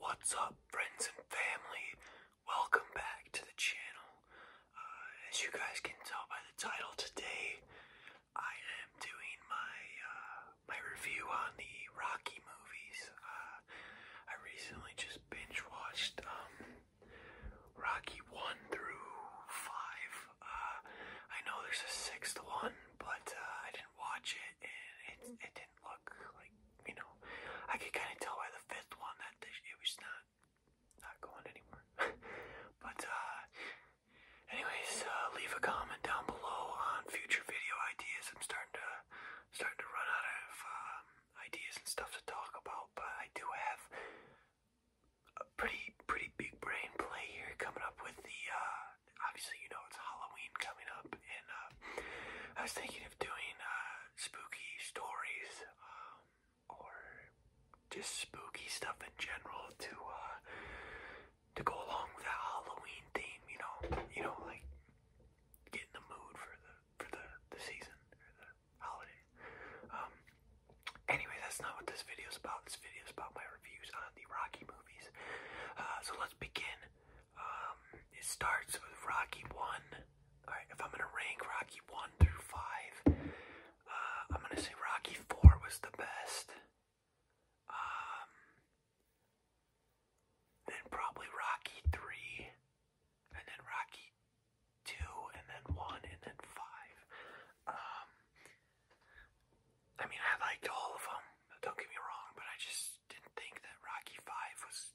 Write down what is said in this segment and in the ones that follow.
What's up, friends and family? Welcome back to the channel. Uh, as you guys can tell by the title today, I am doing my uh, my review on the Rocky movies. Uh, I recently just binge watched um, Rocky one through five. I know there's a sixth one, but I didn't watch it it, didn't look like, you know, I could kind of tell by the fifth one that it was not, not going anywhere. but, uh, anyways, uh, leave a comment down below on future video ideas. I'm starting to, starting to run out of, um, ideas and stuff to talk about, but I do have a pretty, pretty big brain play here coming up with the, uh, uh, obviously you know it's Halloween coming up, and uh, I was thinking of doing uh, spooky stories um, or just spooky stuff in general to uh, to go along with that Halloween theme. You know, you know, like get in the mood for the for the the season or the holidays. Um, anyway, that's not what this video is about. This video is about my reviews on the Rocky movie. Uh, so let's begin. Um, it starts with Rocky 1. Alright, if I'm gonna rank Rocky 1 through 5, uh, I'm gonna say Rocky 4 was the best. Um, then probably Rocky 3, and then Rocky 2, and then 1, and then 5. Um, I mean, I liked all of them. Don't get me wrong, but I just didn't think that Rocky Five was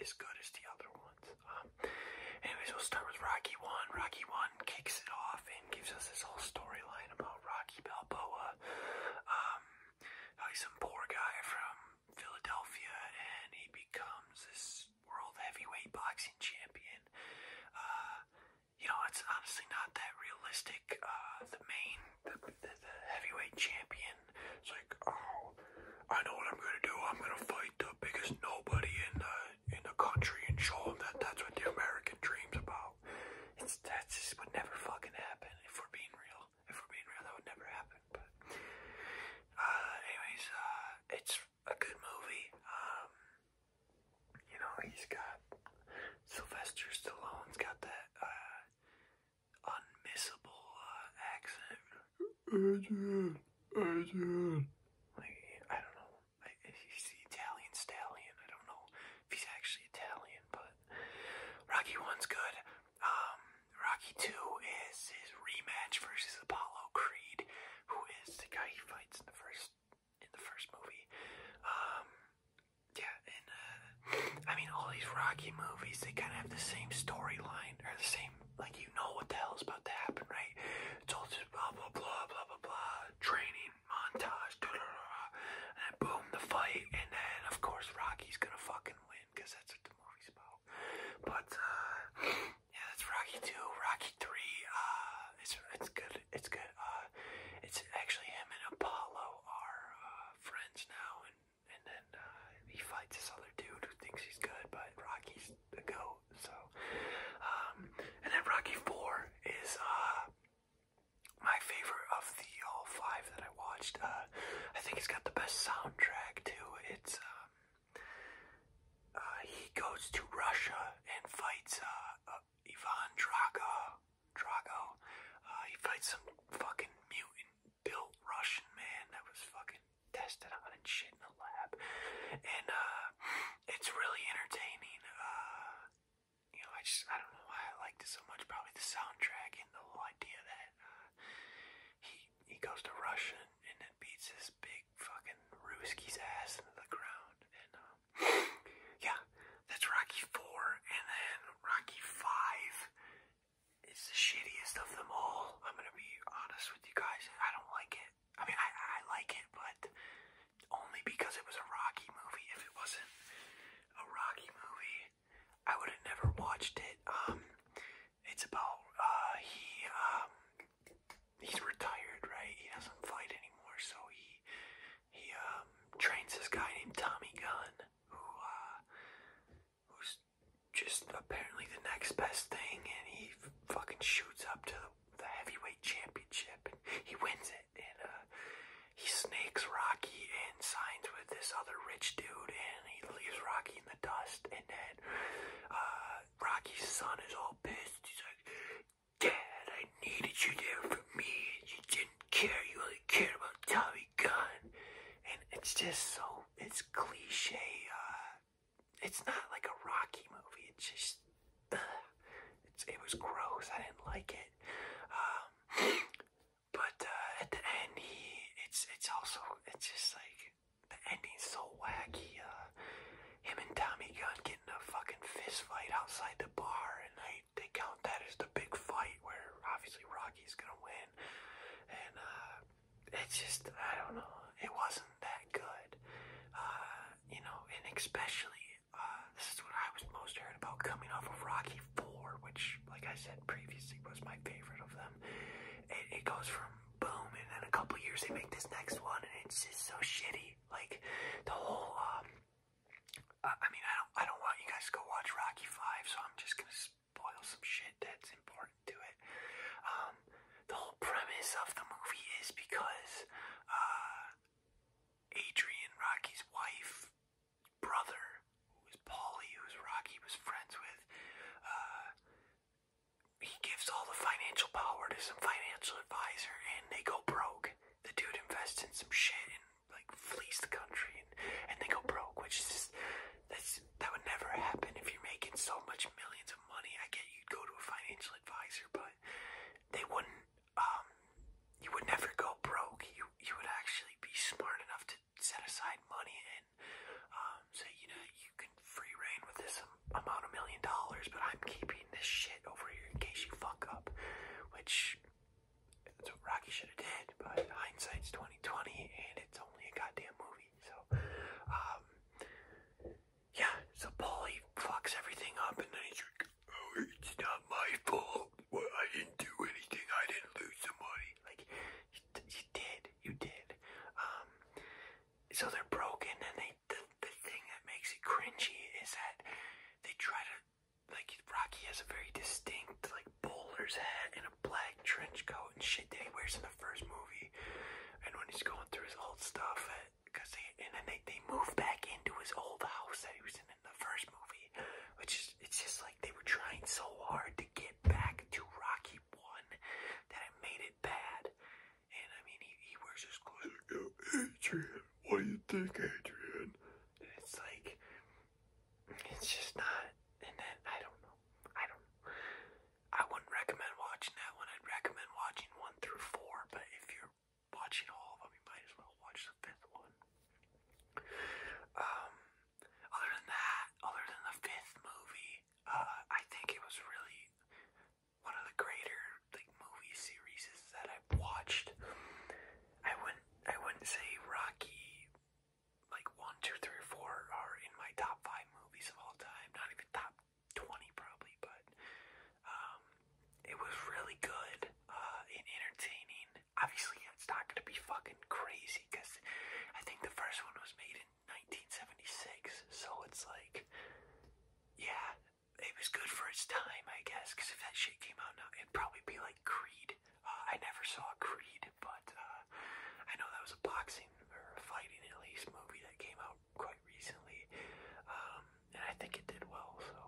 as good as the other ones. Um, anyways, we'll start with Rocky One. Rocky One kicks it off and gives us this whole storyline about Rocky Balboa. Um, he's some poor guy from Philadelphia, and he becomes this world heavyweight boxing champion. Uh, you know, it's honestly not that realistic. Uh, the main, the, the, heavyweight champion, it's like, oh, I know what I'm gonna do. I'm gonna fight the biggest nobody in the in the country and show them that that's what the American dream's about. It's that just would never fucking happen if we're being real. If we're being real, that would never happen. But, uh, anyways, uh, it's a good movie. Um, you know, he's got Sylvester Stallone's got that uh, unmissable uh, accent. Adrian, Adrian. Like, I don't know. I, he's the Italian stallion. I don't know if he's actually Italian, but Rocky One's good. Um, Rocky Two is his rematch versus Apollo Creed, who is the guy he fights in the first in the first movie. Um, yeah, and uh, I mean, all these Rocky movies, they kind of have the same storyline, or the same, like, you know what the hell is about to happen, right? It's all just blah, blah, blah, blah, blah, blah, training, montage, da da da and then boom, the fight, and then, of course, Rocky's gonna fucking win, because that's what the movie's about. But, uh, yeah, that's Rocky Two, Rocky Three. Uh, it's it's good. It's good. Uh, it's actually him and Apollo are uh, friends now, and and then uh, he fights this other dude who thinks he's good, but Rocky's the goat. So, um, and then Rocky Four is uh my favorite of the all five that I watched. Uh, I think it's got the best soundtrack too. It's um, uh, he goes to Russia and fights uh, uh, Ivan Drago. Drago. he fights some fucking mutant built Russian man that was fucking tested on and shit in the lab. And it's really entertaining. you know, I just, I don't know why I liked it so much. Probably the soundtrack and the whole idea that he, he goes to Russia it, and it beats this big fucking Rooskie's ass into the ground. And um, yeah, that's Rocky Four, and then Rocky Five is the shittiest of them all. I'm gonna be honest with you guys. I don't like it. I mean, I, I like it, but only because it was a Rocky movie. If it wasn't a Rocky movie, I would have never watched it. Um, it's about uh, he um, he's retired, right? He doesn't fight anymore, so he he um trains this guy named Tommy Gunn, who uh who's just apparently the next best thing, and he fucking shoots up to the, heavyweight championship, he wins it, and uh he snakes Rocky and signs with this other rich dude, and he leaves Rocky in the dust, and then uh Rocky's son is all pissed. He's like, Dad, I needed you there for me, and you didn't care. You only cared about Tommy Gunn. And it's just so, it's cliche. Uh, it's not like a Rocky movie. It's just, it's, it was gross. I didn't like it. Um, but uh, at the end, he, it's, it's also, it's just like, the ending's so wacky. Uh, him and Tommy Gunn getting a fucking fist fight outside the bar, and they they count that as the big fight where obviously Rocky's gonna win. And uh, it's just I don't know. It wasn't that good, uh, you know. And especially uh, this is what I was most heard about coming off of Rocky Four, which, like I said previously, was my favorite of them. it goes from boom, and then a couple years they make this next one, and it's just so shitty. Like the whole, um, I, mean, I don't, I don't want you guys to watch Rocky Five, so I'm just gonna spoil some shit that's important to it. Um, the whole premise of the movie is because uh, Adrian, Rocky's wife, brother, was Paulie, who was Rocky was friends with, uh, he gives all the financial power to some financial advisor and they go broke. The dude invests in some shit and like flees the country and, and they go broke, which is just that's that would never happen if you're making so much millions of money. I get you'd go to a financial advisor, but they wouldn't um you would never go broke. You you would actually be smart enough to set aside money and um, you know, you can free reign with this amount of million dollars, but I'm keeping this shit over here in case you fuck up, which that's what Rocky should have did, but hindsight's 2020 and it's only a goddamn movie, so, um, yeah, so Paulie fucks everything up and then he's like, oh, it's not my fault, I didn't do anything, I didn't lose some money, like, you, did, you did. Um, so they're broken, and they the, the thing that makes it cringy is that they try to like Rocky has a very distinct like bowler's hat and a black trench coat and shit that he wears in the first movie, and when he's going through his old stuff, because uh, and then they they move back into his old house that he was in in the first movie, which is it's just like they were trying so hard to get back to Rocky One that I made it bad. And I mean, he, wears his clothes. Adrian, what do you think, Adrian? it's like, it's just not. And then I don't know. I don't. I wouldn't recommend watching that one. I'd recommend watching one through four. But if you're watching all of them, you might as well watch the fifth one. Um, other than that, other than the fifth movie, uh, I think it was really one of the greater like movie series that I've watched. I wouldn't I wouldn't say Rocky like one, two, three, are in my top five movies of all time. Not even top twenty probably, but um, it was really good and uh, entertaining obviously it's not gonna be fucking crazy because I think the first one was made in 1976, so it's like, yeah, it was good for its time, I guess. Because if that shit came out now, it'd probably be like Creed. Uh, I never saw Creed, but uh, I know that was a boxing or a fighting at least movie that came out quite recently, um, and I think it did well. So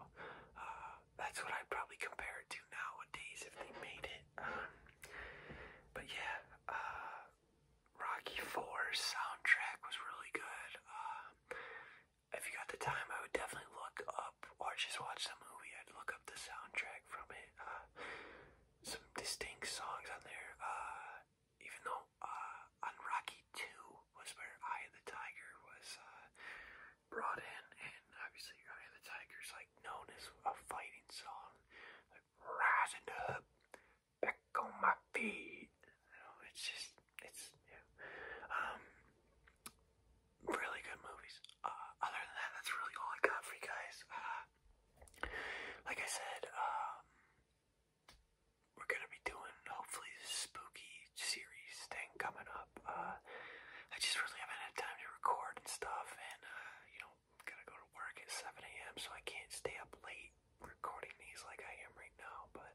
uh, that's what I'd probably compare it to nowadays if they made it. Um, but yeah, uh, Rocky Four soundtrack was really good. Uh, if you got the time, I would definitely look up or just watch the movie. I'd look up the soundtrack from it. Uh, some distinct songs on there. even though on Rocky 2 was where Eye the Tiger was brought in, and obviously the Tiger's like known as a fighting song. Like rising up, back on my feet. You know, it's just it's yeah. Um really good movies. Uh, other than that, that's really all I got for you guys. Uh, like I said, um we're gonna be doing hopefully this spooky series thing coming up. Uh I just really haven't had time to record and stuff, and uh, you know, gotta go to work at 7 a.m., so I can't stay up late recording these like I am right now. But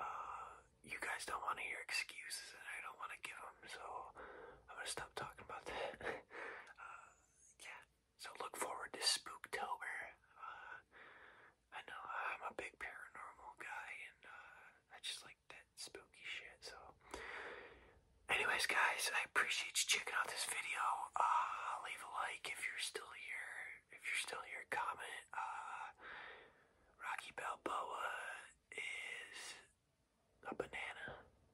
uh, you guys don't want to hear excuses, and I don't want to give them, so I'm gonna stop talking about that. Uh, yeah, so look forward to Spooktober. Uh, I know I'm a big paranormal guy, and uh, I just like like that spooky shit. So, anyways, guys, I appreciate you checking out this video. Uh, leave a like if you're still here. If you're still here, comment. Uh, Rocky Balboa is a banana.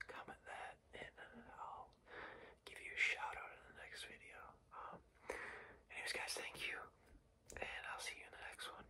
Comment that, and uh, I'll give you a shout out in the next video. Um, anyways, guys, thank you, and I'll see you in the next one.